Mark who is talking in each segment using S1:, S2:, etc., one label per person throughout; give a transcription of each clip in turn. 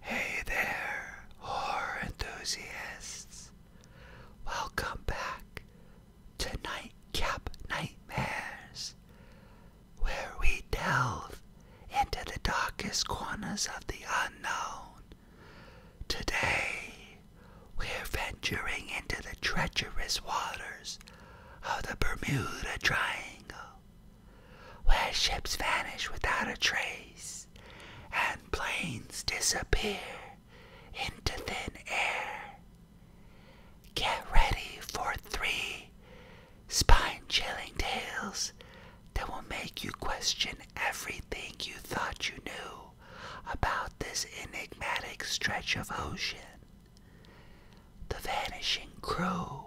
S1: Hey there, horror enthusiasts. Welcome back to Nightcap Nightmares, where we delve into the darkest corners of the unknown. Today, we're venturing into the treacherous waters of the Bermuda Triangle where ships vanish without a trace and planes disappear into thin air. Get ready for three spine chilling tales that will make you question everything you thought you knew about this enigmatic stretch of ocean. The vanishing crew.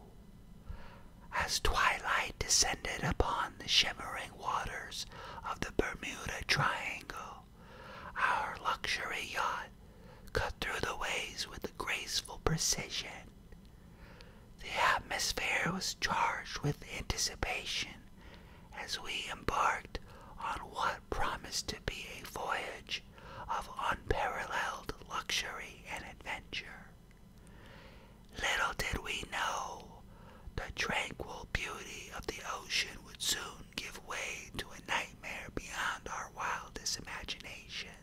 S1: As twilight descended upon the shimmering waters of the Bermuda Triangle, our luxury yacht cut through the waves with graceful precision. The atmosphere was charged with anticipation as we embarked on what promised to be a voyage of unparalleled luxury and adventure. Little did we know the tranquil beauty of the ocean would soon give way to a nightmare beyond our wildest imagination.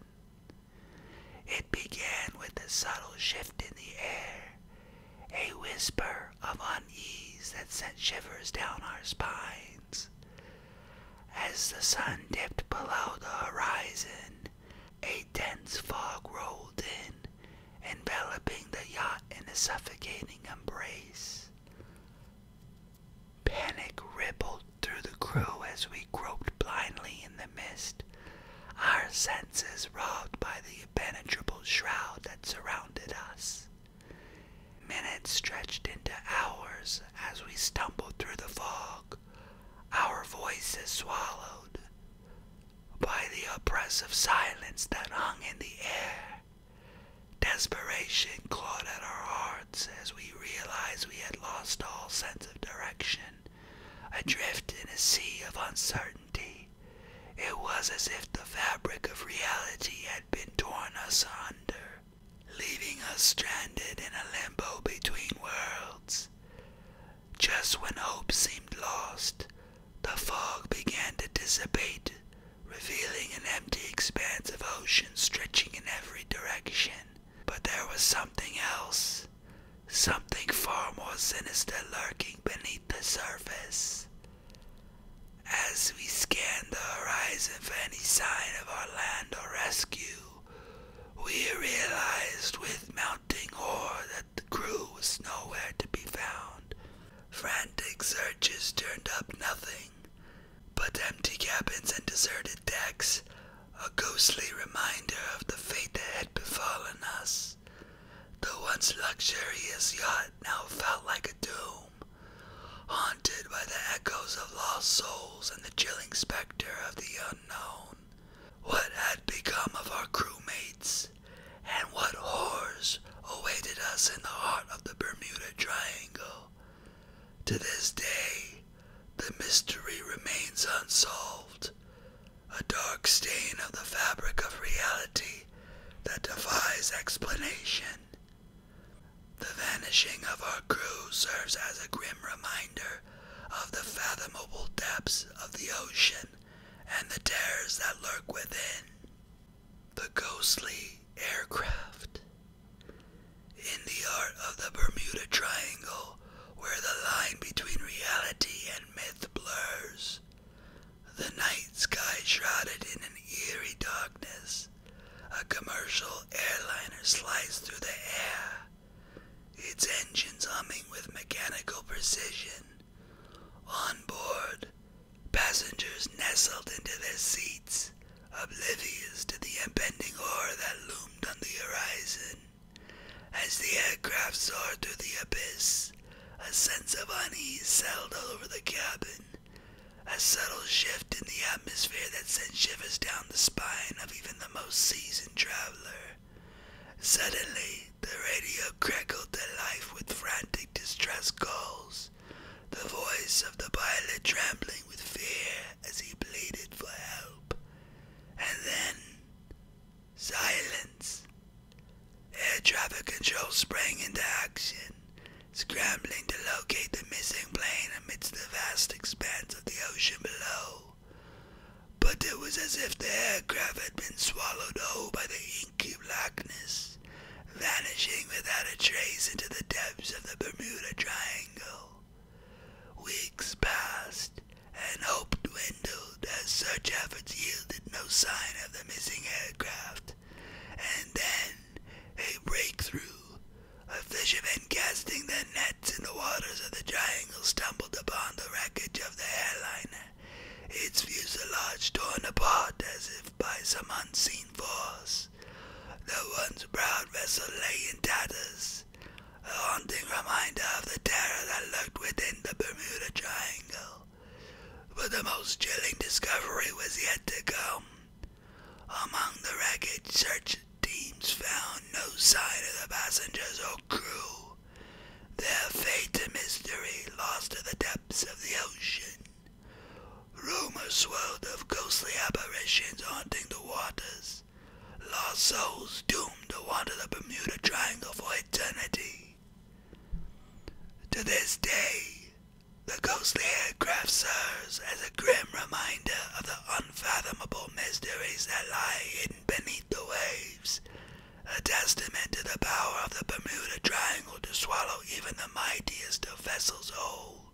S1: It began with a subtle shift in the air, a whisper of unease that sent shivers down our spines, as the sun dipped below the horizon, a dense fog rolled in, enveloping the yacht in a suffocating embrace. Panic rippled through the crew as we groped blindly in the mist, our senses robbed by the impenetrable shroud that surrounded us. Minutes stretched into hours as we stumbled through the fog, our voices swallowed by the oppressive silence that hung in the air. Desperation clawed at our hearts as we realized we had lost all sense of direction, adrift in a sea of uncertainty. It was as if the fabric of reality had been torn asunder leaving us stranded in a limbo between worlds. Just when hope seemed lost, the fog began to dissipate, revealing an empty expanse of ocean stretching in every direction. But there was something else, something far more sinister lurking beneath the surface. As we scanned the horizon for any sign of our land or rescue, we realized with mounting horror that the crew was nowhere to be found. Frantic searches turned up nothing, but empty cabins and deserted decks, a ghostly reminder of the fate that had befallen us. The once luxurious yacht now felt like a doom haunted by the echoes of lost souls and the chilling specter of the unknown. What had become of our crewmates, and what horrors awaited us in the heart of the Bermuda Triangle? To this day, the mystery remains unsolved, a dark stain of the fabric of reality that defies explanation. The vanishing of our crew serves as a grim reminder of the fathomable depths of the ocean and the terrors that lurk within. The ghostly aircraft. In the art of the Bermuda Triangle, where the line between reality and myth blurs, the night sky shrouded in an eerie darkness a commercial airliner slides through the air, its engines humming with mechanical precision. On board, passengers nestled into their seats, oblivious to the impending horror that loomed on the horizon. As the aircraft soared through the abyss, a sense of unease settled all over the cabin. A subtle shift in the atmosphere that sent shivers down the spine of even the most seasoned traveler. Suddenly, the radio crackled to life with frantic distress calls, the voice of the pilot trembling with fear as he pleaded for help. And then, silence. Air traffic control sprang into action, scrambling to locate the missing plane amidst the vast expanse of the ocean below. But it was as if the aircraft had been swallowed whole by the inky blackness, vanishing without a trace into the depths of the Bermuda Triangle. Weeks passed, and hope dwindled as search efforts yielded no sign of the missing aircraft. And then, a breakthrough. A fisherman casting their nets in the waters of the triangle stumbled upon the wreckage of the airliner, its fuselage torn apart as if by some unseen force. The once proud vessel lay in tatters, a haunting reminder of the terror that lurked within the Bermuda Triangle. But the most chilling discovery was yet to come. Among the wreckage, search teams found no sign of the passengers or crew. Their fate a mystery lost to the depths of the ocean. Rumors swelled of ghostly apparitions haunting the waters. Lost souls doomed to wander the Bermuda Triangle for eternity. To this day, the ghostly aircraft serves as a grim reminder of the unfathomable mysteries that lie hidden beneath the waves, a testament to the power of the Bermuda Triangle to swallow even the mightiest of vessels whole.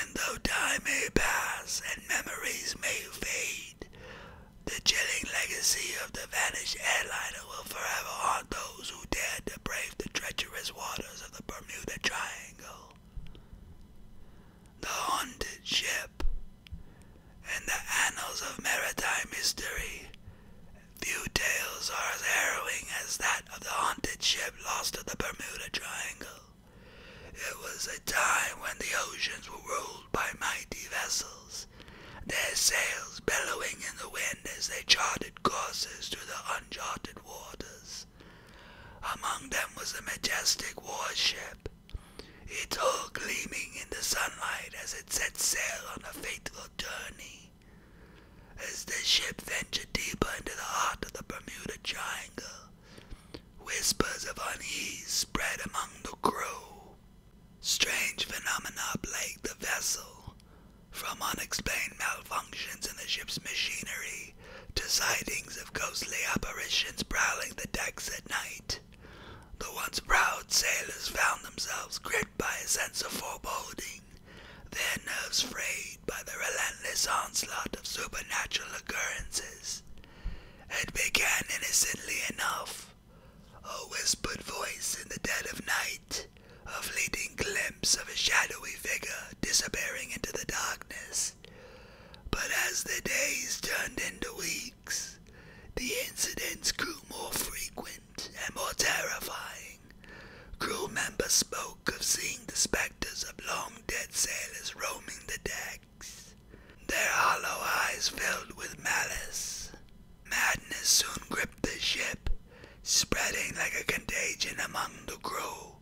S1: And though time may pass and memories may fade, the chilling legacy of the vanished airliner will forever haunt those who dared to brave the treacherous waters of the Bermuda Triangle. The haunted ship. In the annals of maritime history, few tales are as harrowing as that of the haunted ship lost in the Bermuda Triangle. It was a time when the oceans were ruled by mighty vessels, their sails bellowing in the wind as they charted courses through the uncharted waters. Among them was a majestic warship, its hull gleaming in the sunlight as it set sail on a fateful journey. As the ship ventured deeper into the heart of the Bermuda Triangle, whispers of unease spread among the crew. Strange phenomena plagued the vessel, from unexplained malfunctions in the ship's machinery to sightings of ghostly apparitions prowling the decks at night, the once proud sailors found themselves gripped by a sense of foreboding, their nerves frayed by the relentless onslaught of supernatural occurrences. It began innocently enough. A whispered voice in the dead of night, a fleeting glimpse of a shadowy figure disappearing into the darkness. But as the days turned into weeks, the incidents grew more frequent and more terrifying. Crew members spoke of seeing the specters of long dead sailors roaming the decks, their hollow eyes filled with malice. Madness soon gripped the ship, spreading like a contagion among the crew.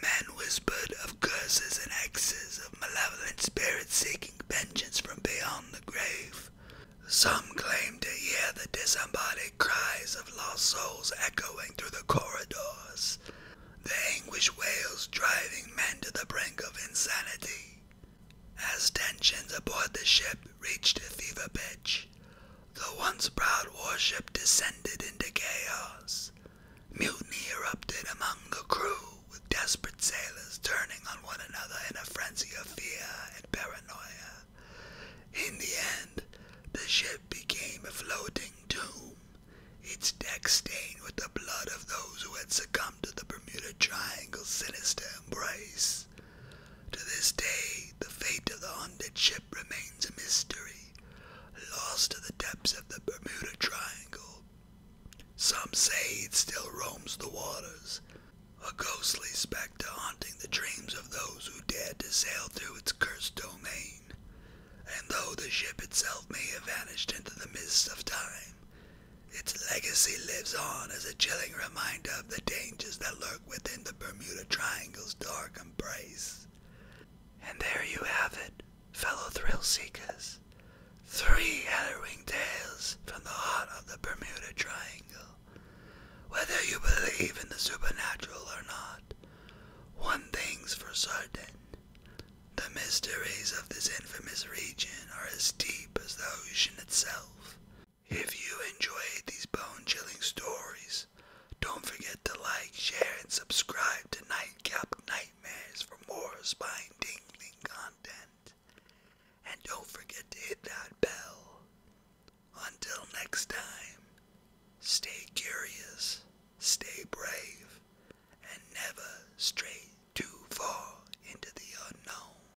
S1: Men whispered of curses and hexes, of malevolent spirits seeking vengeance from beyond the grave. Some claimed to hear the disembodied cries of lost souls echoing through the corridors, the anguish wails driving men to the brink of insanity. As tensions aboard the ship reached a fever pitch. The once proud warship descended into chaos. Mutiny erupted among the crew, with desperate sailors turning on one another in a frenzy of fear and paranoia. In the end, the ship became a floating tomb, its deck stained with the blood of those who had succumbed to the Bermuda Triangle's sinister embrace. To this day, the fate of the haunted ship remains a mystery, lost to the depths of the Bermuda Triangle. Some say it still roams the waters, a ghostly specter haunting the dreams of those who dared to sail through its cursed domain. And though the ship itself may have vanished into the mists of time, its legacy lives on as a chilling reminder of the dangers that lurk within the Bermuda Triangle's dark embrace. And there you have it, fellow thrill seekers. Three harrowing tales from the heart of the Bermuda Triangle. Whether you believe in the supernatural or not, one thing's for certain. The mysteries of this infamous region are as deep as the ocean itself, if you enjoyed these bone chilling stories, don't forget to like, share, and subscribe to Nightcap Nightmares for more spine tingling content. And don't forget to hit that bell. Until next time, stay curious, stay brave, and never stray too far into the unknown.